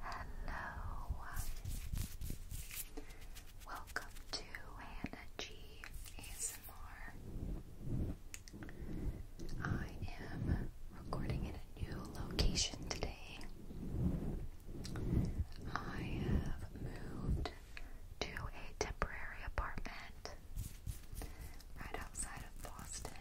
Hello. Uh, welcome to Hannah G ASMR. I am recording in a new location today. I have moved to a temporary apartment right outside of Boston.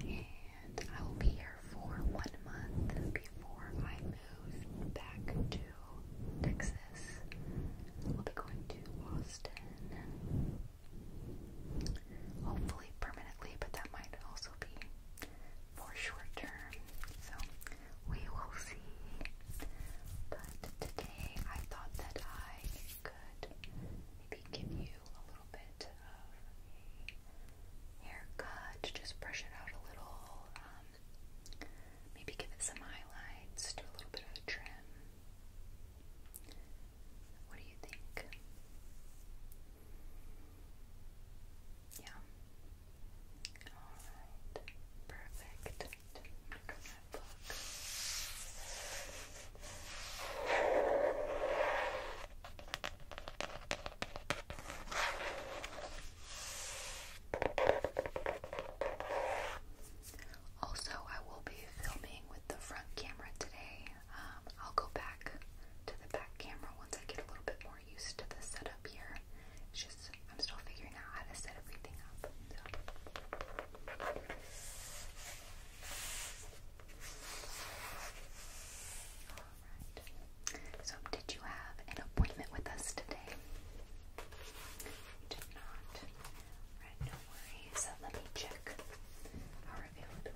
And I will be here for one month before I move back to Texas. I'll be going to Austin. Hopefully permanently, but that might also be for short term. So we will see. But today I thought that I could maybe give you a little bit of a haircut to just brush it out a little. Um, maybe give it some highlights, do a little bit of a trim. What do you think? Yeah. Alright. Perfect. Look at also, I will be filming with the front camera today. Um, I'll go back to the back camera once I get a little bit more used to the setup here. just I'm still figuring out how to set everything up. So, did you have an appointment with us today? You did not. Alright, no worries. Uh, let me check our availability.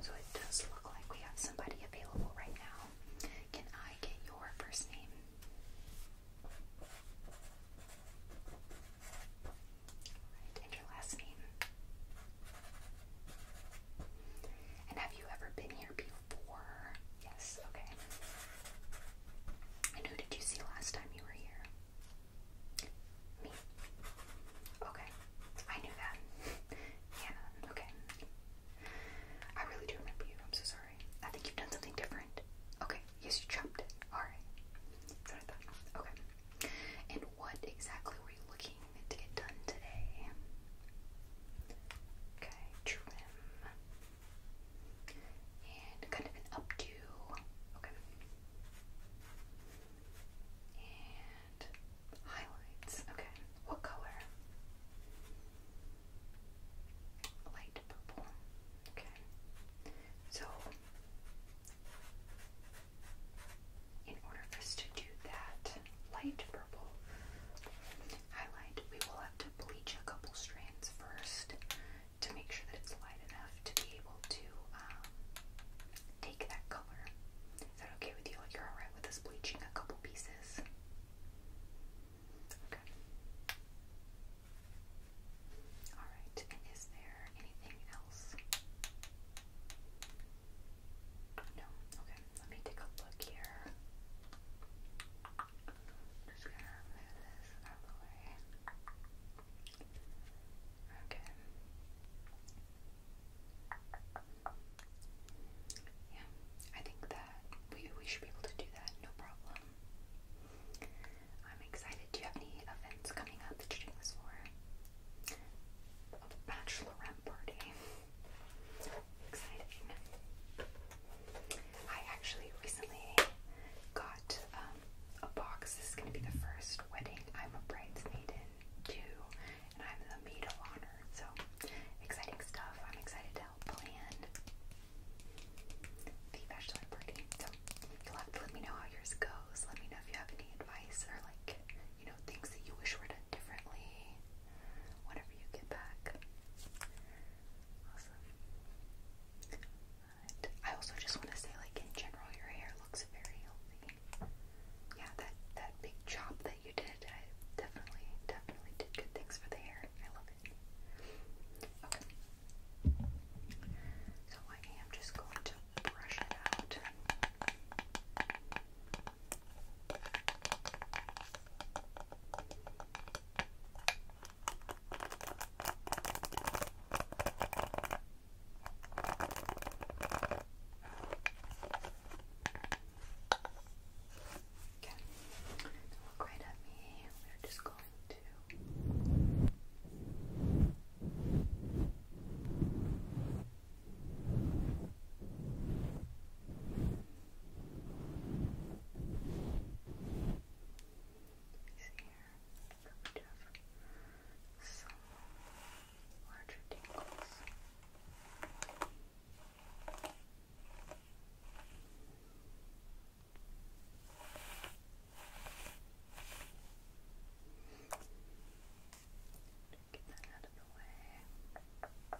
So it does look like we have somebody available right now. Can I get your first name? and your last name. And have you ever been here before? Yes, okay. And who did you see last time you were here? Me. Okay. I knew that. yeah, okay. I really do remember you. I'm so sorry. I think you've done something different. Okay. Yes, you chopped it. Alright. Okay. And what exactly were you looking to get done today? Okay, trim and kind of an updo. Okay. And highlights. Okay. What color? Light purple. Okay. So, in order for us to do that light purple highlight, we will have to bleach a couple strands first to make sure that it's light enough to be able to um, take that color. Is that okay with you? Like you're alright with us bleaching a couple pieces? Okay. Alright, is there anything else? No? Okay, let me take a look here just gonna move this out of the way. Okay. Yeah, I think that we we should be able to do that, no problem. I'm excited. Do you have any events coming up that you're doing this for? A bachelorette party. Exciting. I actually recently got um, a box. This is going to be the first wedding I'm a bridesmaid in, too, and I'm the maid of honor. So exciting stuff! I'm excited to help plan the bachelor party. So you'll have to let me know how yours goes. Let me know if you have any advice or like you know things that you wish were done differently. Whenever you get back. Awesome. But I also just want to say, like in general, your hair looks very healthy. Yeah, that that big chop that you did, I definitely, definitely did good things for the hair. I love it. Okay. So I am just going to brush it out. Okay. Okay. Don't look right at me. We're just going to Okay is here. That would have some larger tingles. Get that out of the way.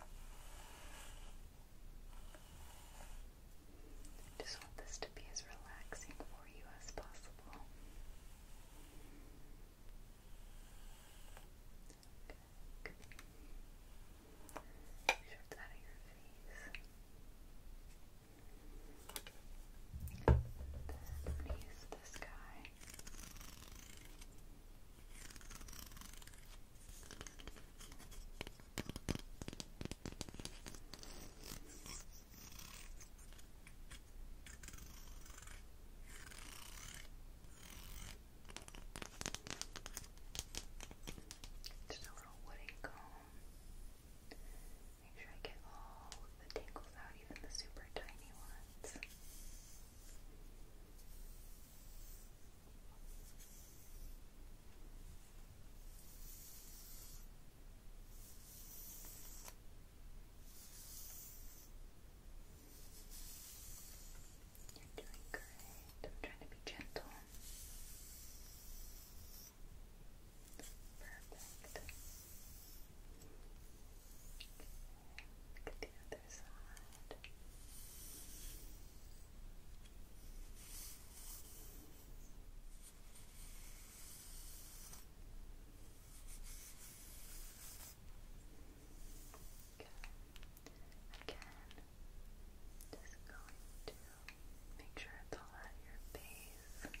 I just want this to be as relaxing for you as possible. Okay, good. Shift out of your face. Then I'm just a little woody comb. Make sure I get all the tangles out, even the super tiny ones. You're doing great. I'm trying to be gentle. Perfect. look at the other side. Again, just going to make sure it's all out of your face.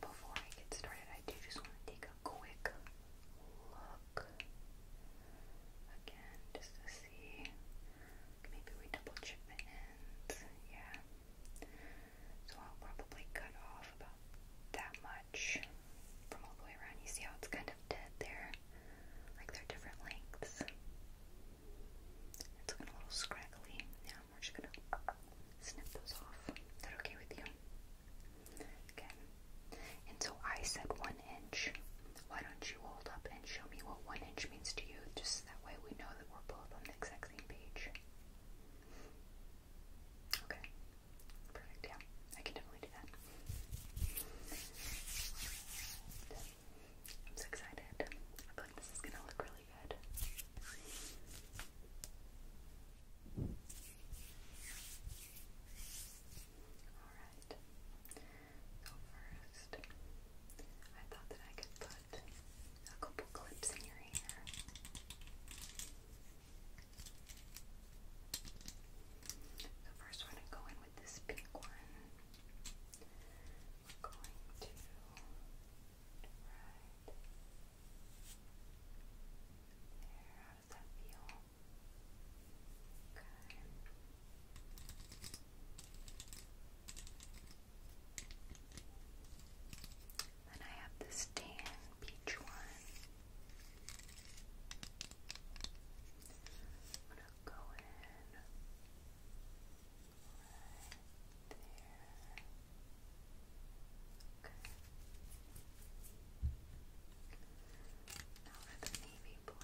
before I get started, I do just want to take a quick look again just to see. Maybe we double check the ends. Yeah. So I'll probably cut off about that much from all the way around. You see how it's kind of dead there? Like they're different lengths. It's looking a little scraggly. Now we're just gonna snip those off. Is that okay with you? Okay. And so I said one inch. Why don't you hold up and show me what one inch means to you? Just that way we know that we're both on the exact same page. Okay. Perfect, yeah. I can definitely do that. I'm so excited. I feel like this is gonna look really really good. Alright, so first, I thought that I could put a couple clips in your hair. So first we're go in with this pink one. We're going to right there, how Then I have this tan peach one. I'm gonna go in there. Okay. Now for the navy blue.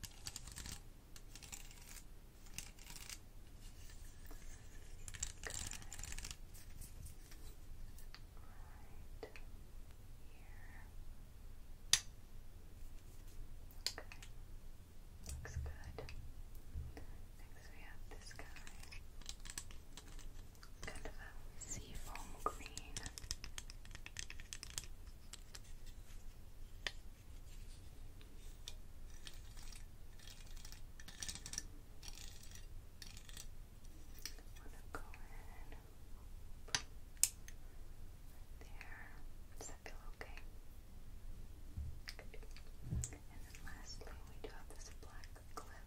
Good. Right here. Okay. Looks good. So we have this guy. Kind of a seafoam green. Wanna go in there. Does that feel okay? And then lastly, we do have this black clip. I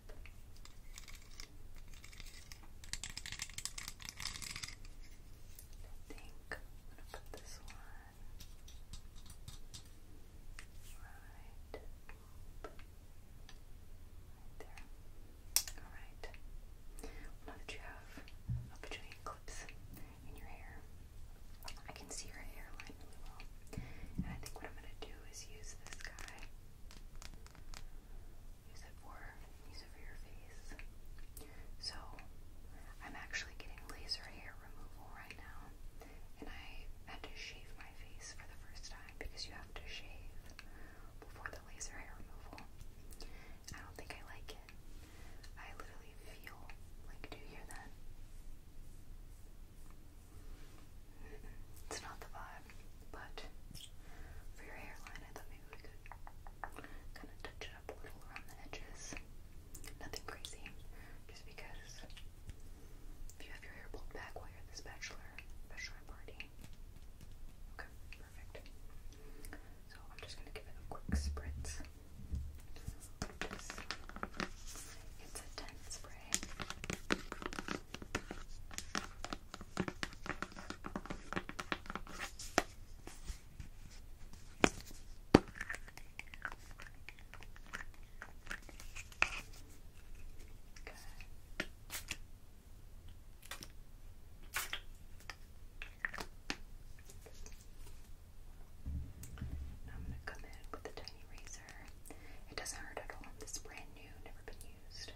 think I'm gonna put this one right, there. All right. Now that you have a bajillion clips in your hair, I can see your hairline really well. And I think what I'm gonna do is use this guy. Use it for use it for your face. So I'm actually getting laser hair removal right now, and I had to shave my face for the first time because you have to shave before the laser hair removal. I don't think I like it. I literally feel like do you hear that? It's not the vibe, but for your hairline, I thought maybe we could kind of touch it up a little around the edges. Nothing crazy, just because if you have your hair pulled back while you're this bachelor, bachelor party. Okay, perfect. So I'm just gonna give it a quick spritz. It's a 10 spritz. Now I'm going to come in with a tiny razor. It doesn't hurt at all. This brand new, never been used.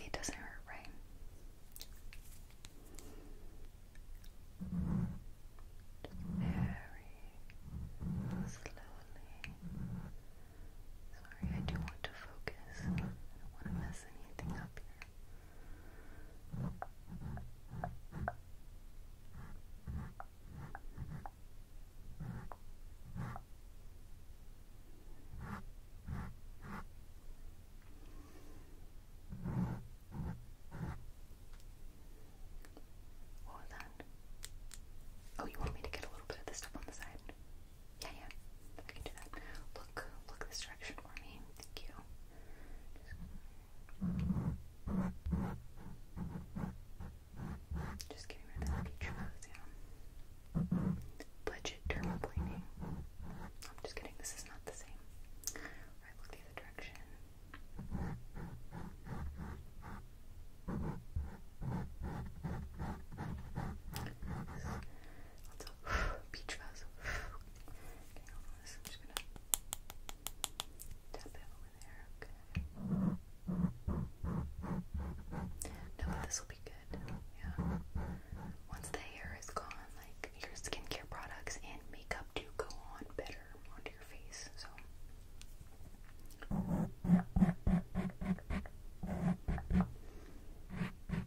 it doesn't hurt, right? very slowly. Sorry, I do want to focus. I don't want to mess anything up here. What that? Oh, you want me to get a little bit of this stuff on the side? Yeah, yeah. I can do that. Look, look this direction for me. Thank you. Just, getting rid of that peach yeah. Budget dermaplaning. I'm just kidding, this is not the same. Alright, look the other direction. This is also beach fuzz. Okay, I'm just gonna tap it over there. Okay. No, this will be good. Yeah once the hair is gone, like your skincare products and makeup do go on better onto your face. So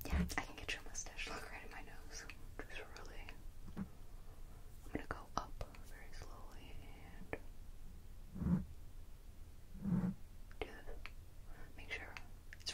yeah, I can get your mustache look right my nose. Just really, I'm gonna go up very slowly and do this. Make sure it's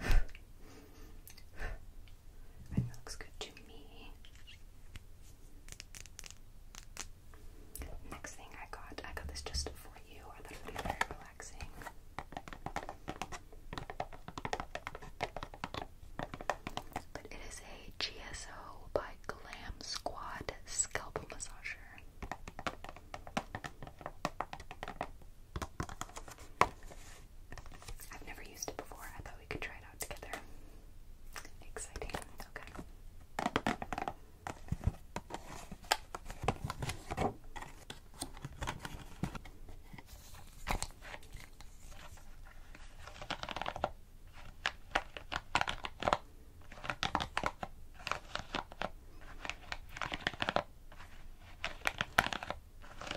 That looks good to me. Next thing I got, I got this just for you. I thought be very relaxing. But it is a GSO by Glam Squad scalp massager. I've never used it before. I thought we could try it out together. Exciting. Okay. Okay.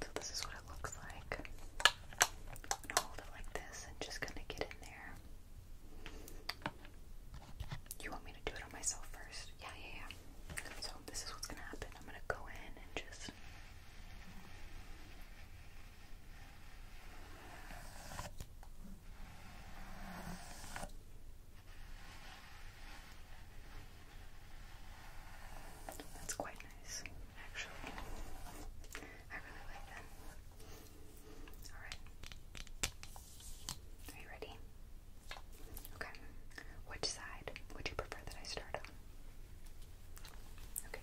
So this is what it looks like. I'm gonna hold it like this and just gonna get in there. You want me to do it on myself first? Yeah, yeah, yeah. So this is what's gonna happen. I'm gonna go in and just that's quite nice, actually. I really like that. Alright. Are you ready? Okay. Which side would you prefer that I start on? Okay.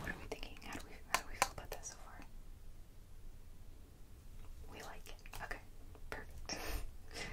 What are we thinking? How do we how do we feel about this so far? We like it. Okay. Perfect.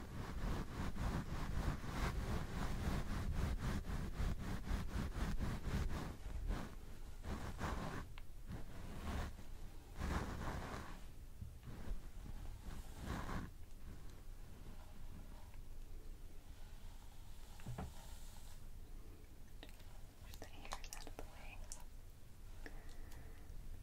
Push the hairs out of the way.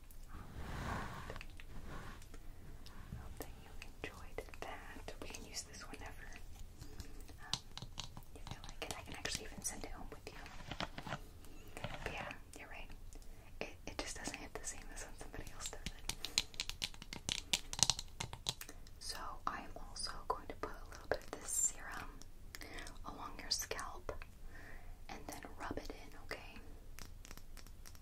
I hope that you enjoyed that. We can use this whenever um, you feel like it. I can actually even send it home with you. But yeah, you're right. It, it just doesn't hit the same as when somebody else does it. So I'm also going to put a little bit of this serum along your scalp and then rub it in, okay?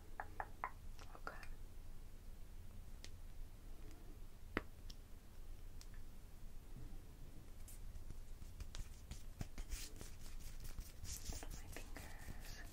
Okay. Little my fingers.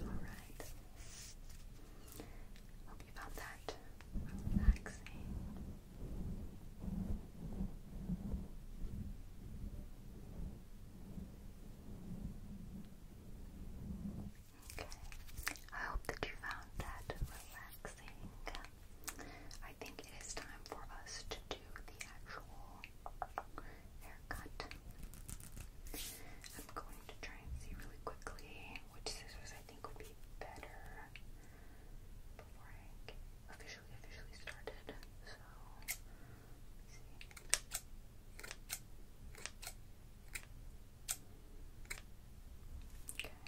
Alright. Hope you found that relaxing. Okay. I hope that you found that relaxing. I think it is time for us to do the actual haircut. I'm going to try and see really quickly which scissors I think would be better before I officially, officially started. So, Okay,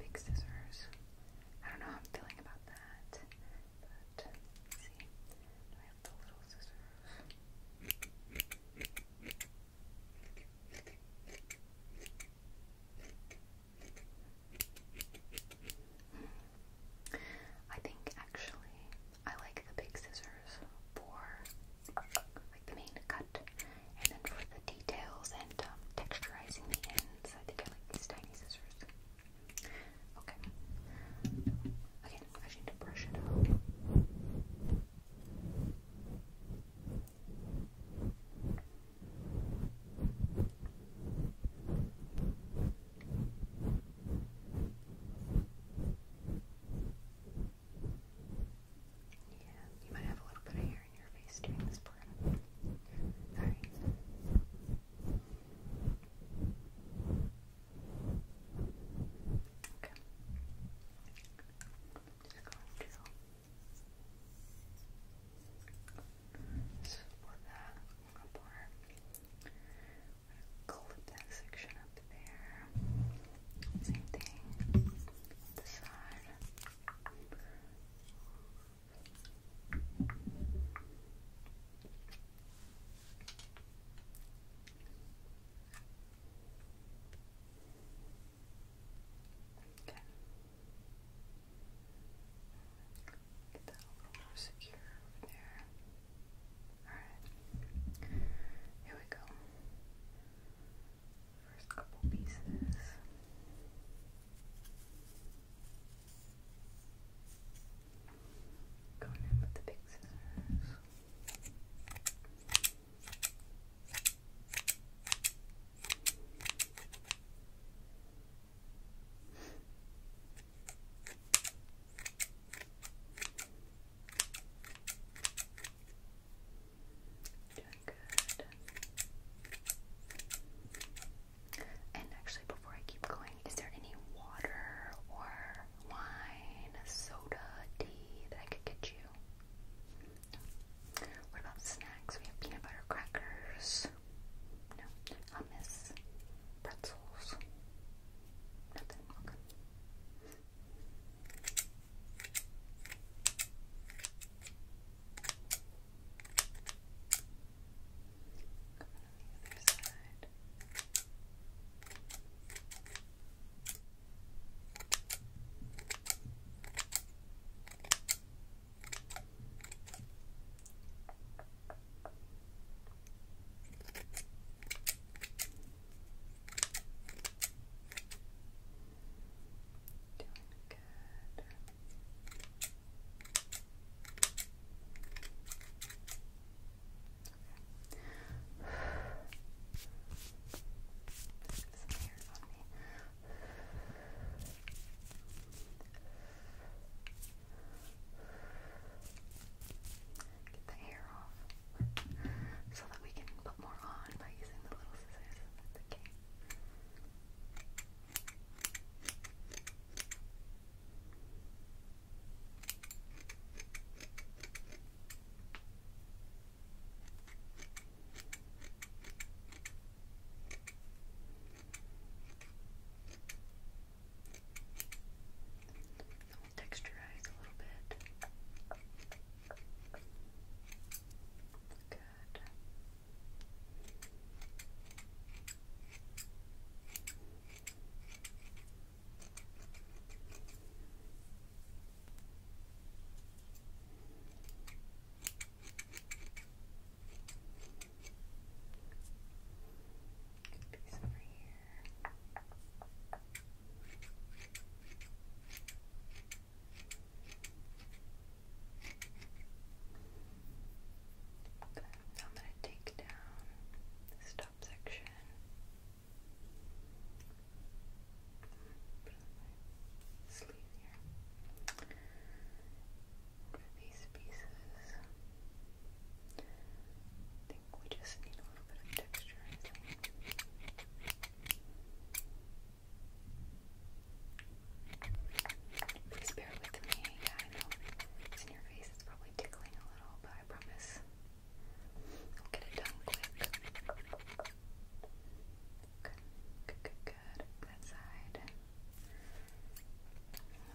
big scissors. I don't know how I'm feeling about that. I think actually I like the big scissors for like the main cut and then for the details and um, texturizing the ends. I think I like these tiny scissors. Okay. Again, I need to brush it Yeah, you might have a little bit of hair in your face during this part. Alright. Okay. Just going to support that apart. i clip that section up there. Same thing. The side. Okay. Get that a little more secure over there. Alright. Here we go. First couple pieces. Going in with the big scissors. Doing good. And actually, before I keep going, is there any water or wine, soda, tea that I could get you? No. What about snacks? We have peanut butter crackers. No. Hummus. Pretzels. Nothing. Okay the other Doing Good. Some hairs Get the hair off so that we can put more on by using the little scissors. Okay. I'll texturize a little bit. Good. Piece over I'm going to take down this top section. Put on these pieces, I think we just need a little bit of texture. Please bear with me. I know it's in your face. It's probably tickling a little, but I promise Get it done quick. Good, good, good, good. That side. Let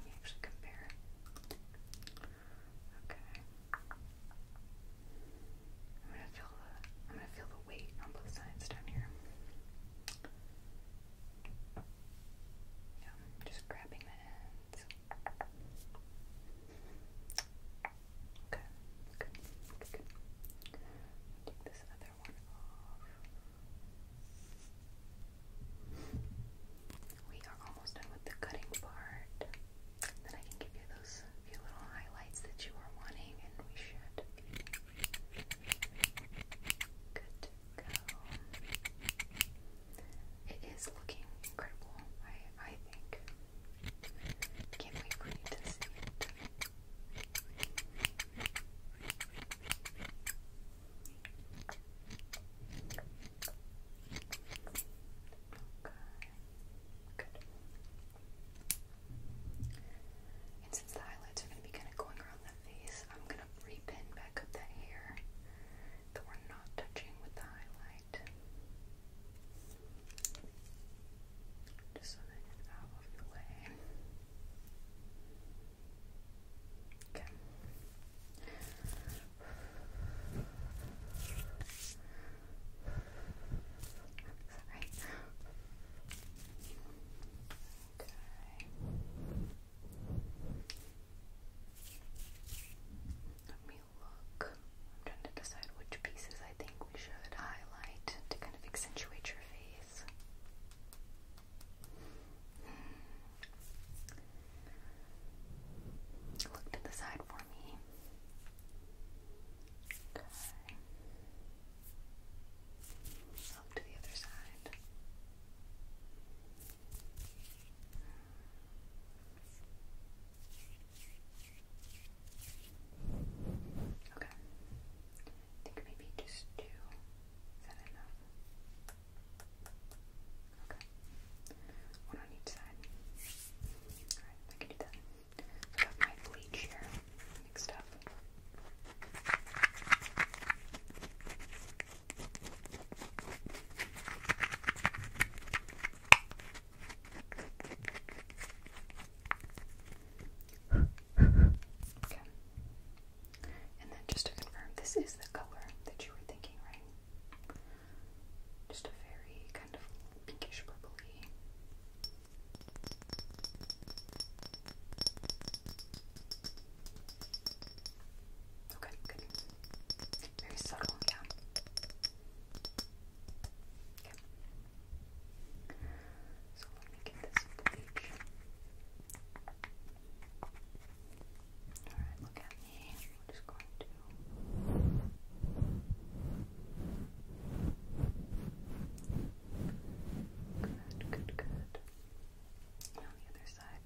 me actually compare. Okay. I'm gonna feel the I'm gonna feel the weight on both sides down here. Yeah, just grabbing the ends. Okay, good, Take this other one off. We are almost done with the cutting part. Then I can give you those few little highlights that you are wanting, and we should good go. It is looking incredible, I, I think. Can't wait for you to see it. Okay. Good. And since the highlights are going to be kind of going around the face, I'm going to repin back up that hair that we're not touching with the highlight right. Just so out of your way. Okay. Sorry. Okay look. I'm trying to decide which pieces I think we should highlight to kind of accentuate your face. Hmm. Look to the side for me. Okay. Up to the other side. Hmm. Okay. think maybe just two. Is that enough? Okay. One on each side. Alright, I can do that. I my bleach here mixed up. And then just to confirm, this is the color that you were thinking, right? Just a very kind of pinkish purpley. Okay, Very subtle, yeah. Okay. So let me get this bleach. Alright, look at me. We're just going to. Good, good, good. on the other side.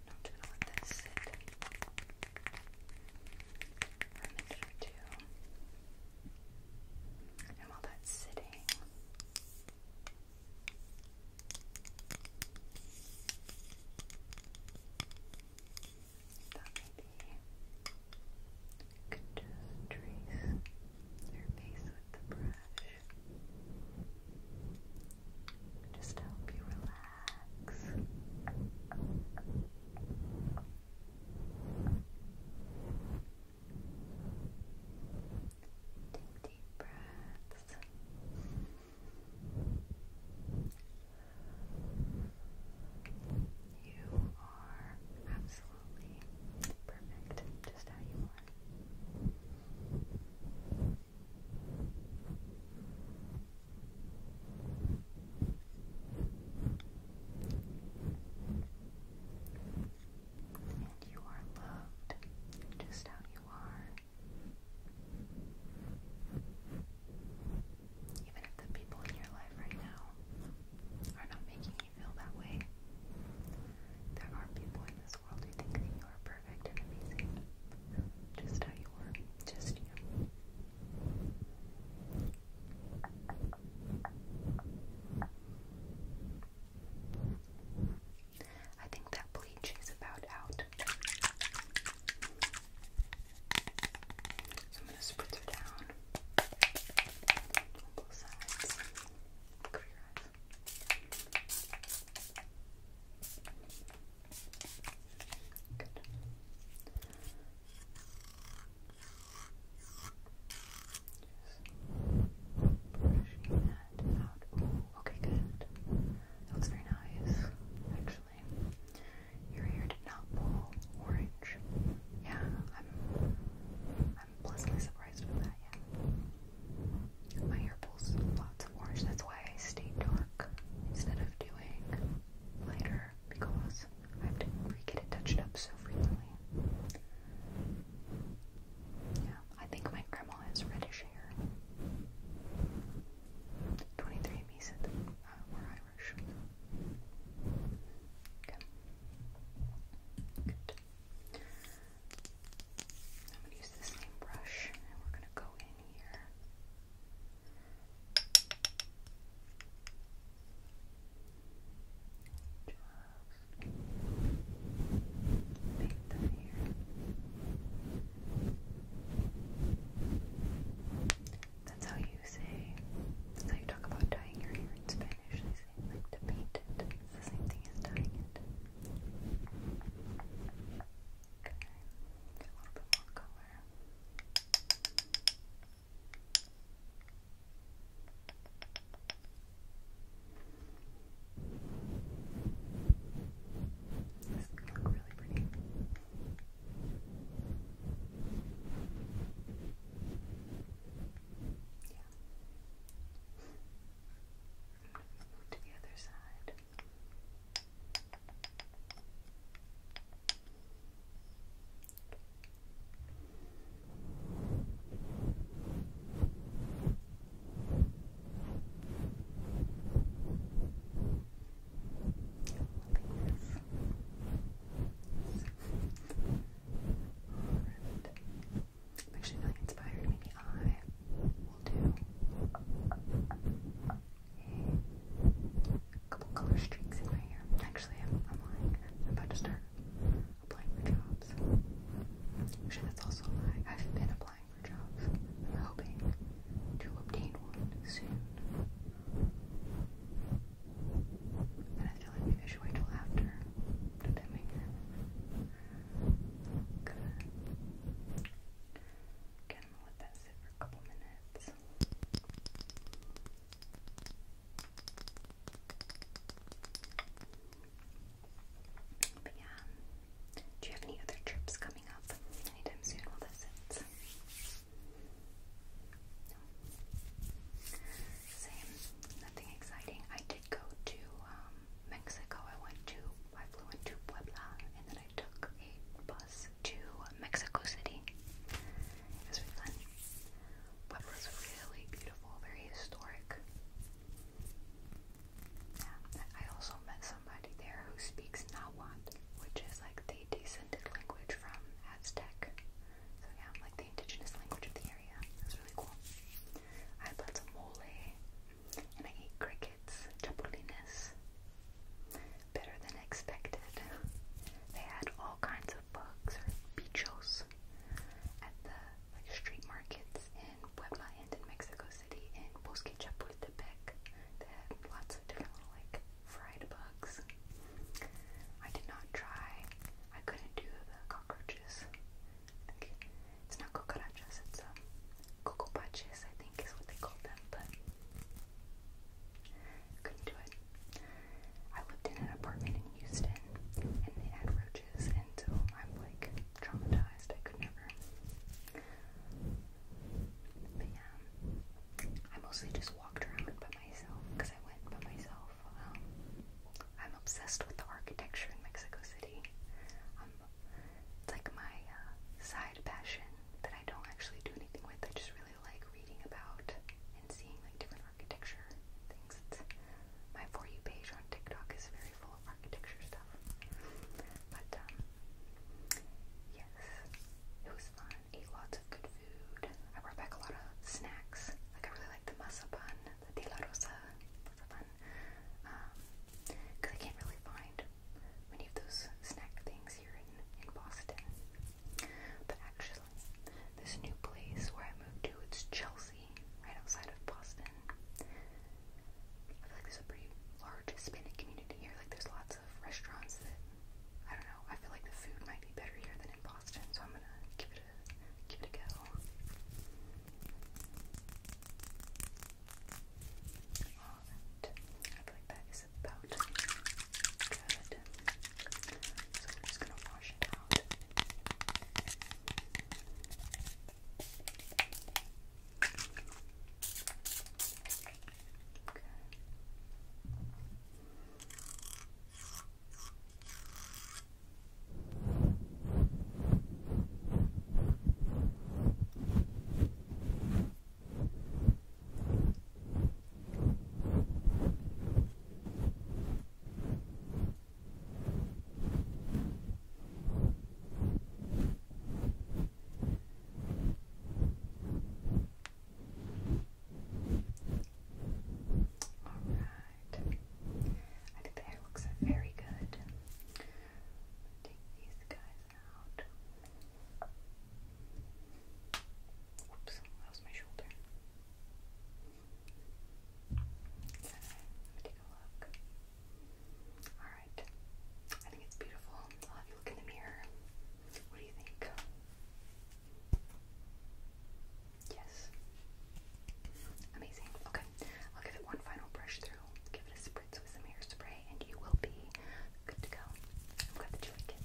I'm just let that sit for a minute or And while that's sitting, thought maybe could just trace your face with the brush. Just help you relax relax. Take deep breaths. You are absolutely perfect, just how you are. And you are loved just how you are. Even if the people in your life right now are not making you feel that way, there are people in this world who think that you are perfect and amazing. Just how you are, just you. I think that bleach is about out. So I'm going to spritz her down on both sides. Cover your eyes okay, good. looks very nice, actually. Your hair did not pull orange. Yeah, I'm I'm pleasantly surprised with that, yeah. My hair pulls lots of orange, that's why I stayed dark instead of doing lighter because I have to get it touched up so frequently. Yeah, I think my grandma has reddish hair. 23andMe said that uh, Irish. Okay. Good. I'm going to use the same brush and we're going to go in here. Just make them here. That's how you say, how you talk about dyeing your hair in Spanish. They say, like, to paint it. It's the same thing as dyeing it. Okay, a little bit more color. This can really pretty. Yeah. to the other side. I'm actually really inspired. Maybe I will do a couple color streaks in my hair. Actually, I'm, lying. I'm about to start applying for jobs. Actually, that's also a lie. I've been applying for jobs. am hoping to obtain one soon. And I feel like maybe should wait till after the timing. Good. Okay, I'm gonna let that sit for a couple minutes. But yeah, do you have any other trips coming up anytime soon while this sits? Same, nothing exciting. I did go to um, Mexico. I went to, I flew into Puebla and then I took a to Mexico City. It was really beautiful, very historic. I also met somebody there who speaks Nahuatl, which is like the descended language from Aztec. So yeah, like the indigenous language of the area. That's really cool. I had lots mole, and I ate crickets, chapulines better than expected. They had all kinds of bugs or bichos at the like street markets in Puebla and in Mexico City in Bosque Chapultepec. They had lots of different little like fried bugs. I did not try. I couldn't do the cockroaches. I think it's not cucarachas, it's um cocopaches I think is what they call them, but couldn't do it. I lived in an apartment in Houston, and they had roaches, and so I'm like traumatized. I could never. But yeah, I mostly just walked around by myself because I went by myself. Um, I'm obsessed with the architecture in Mexico City. Um, it's like my uh, side passion that I don't actually do anything with. I just really really like reading about and seeing like different architecture things. It's, my For You page on TikTok is very full of architecture stuff. But, um, yes, it was fun. Ate lots of good food. I brought back a lot of snacks. Like, I really like the masa bun, the de la rosa masa bun. Um, because I can't really find many of those snack things here in, in Boston. But actually, this new place where I moved to, it's Chelsea, right outside of Boston. I feel like there's a pretty large Hispanic community here. Like, there's lots of restaurants that I don't know. I feel like the food might be better here than in Boston, so I'm gonna give it a give it a go. Alright, I feel like that is is about So we're just gonna wash it out. Okay. I think the hair looks very good. Take these guys out. Oops, that my shoulder. So, take a look. Alright. I think it's beautiful. I'll have you look in the mirror. What do you think? Yes. Amazing. Okay. I'll give it one final brush through. Give it a spritz with some hairspray and you will be good to go. I'm glad that you like it.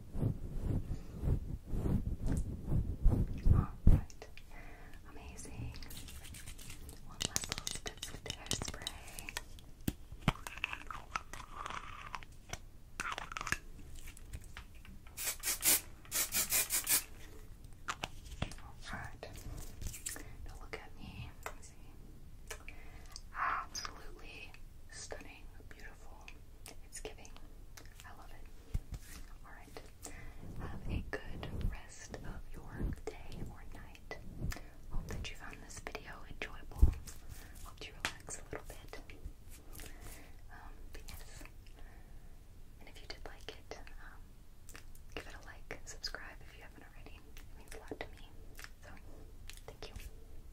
Alright, amazing. One last little spritz hairspray. Alright, now look at me. Absolutely stunning, beautiful. It's giving. I love it. Alright. Have a good rest of your day or night. Hope that you found this video enjoyable. Hope you relax a little bit. Um, yes. And if you did like it, um, give it a like, subscribe if you haven't already. It means a lot to me. So, thank you.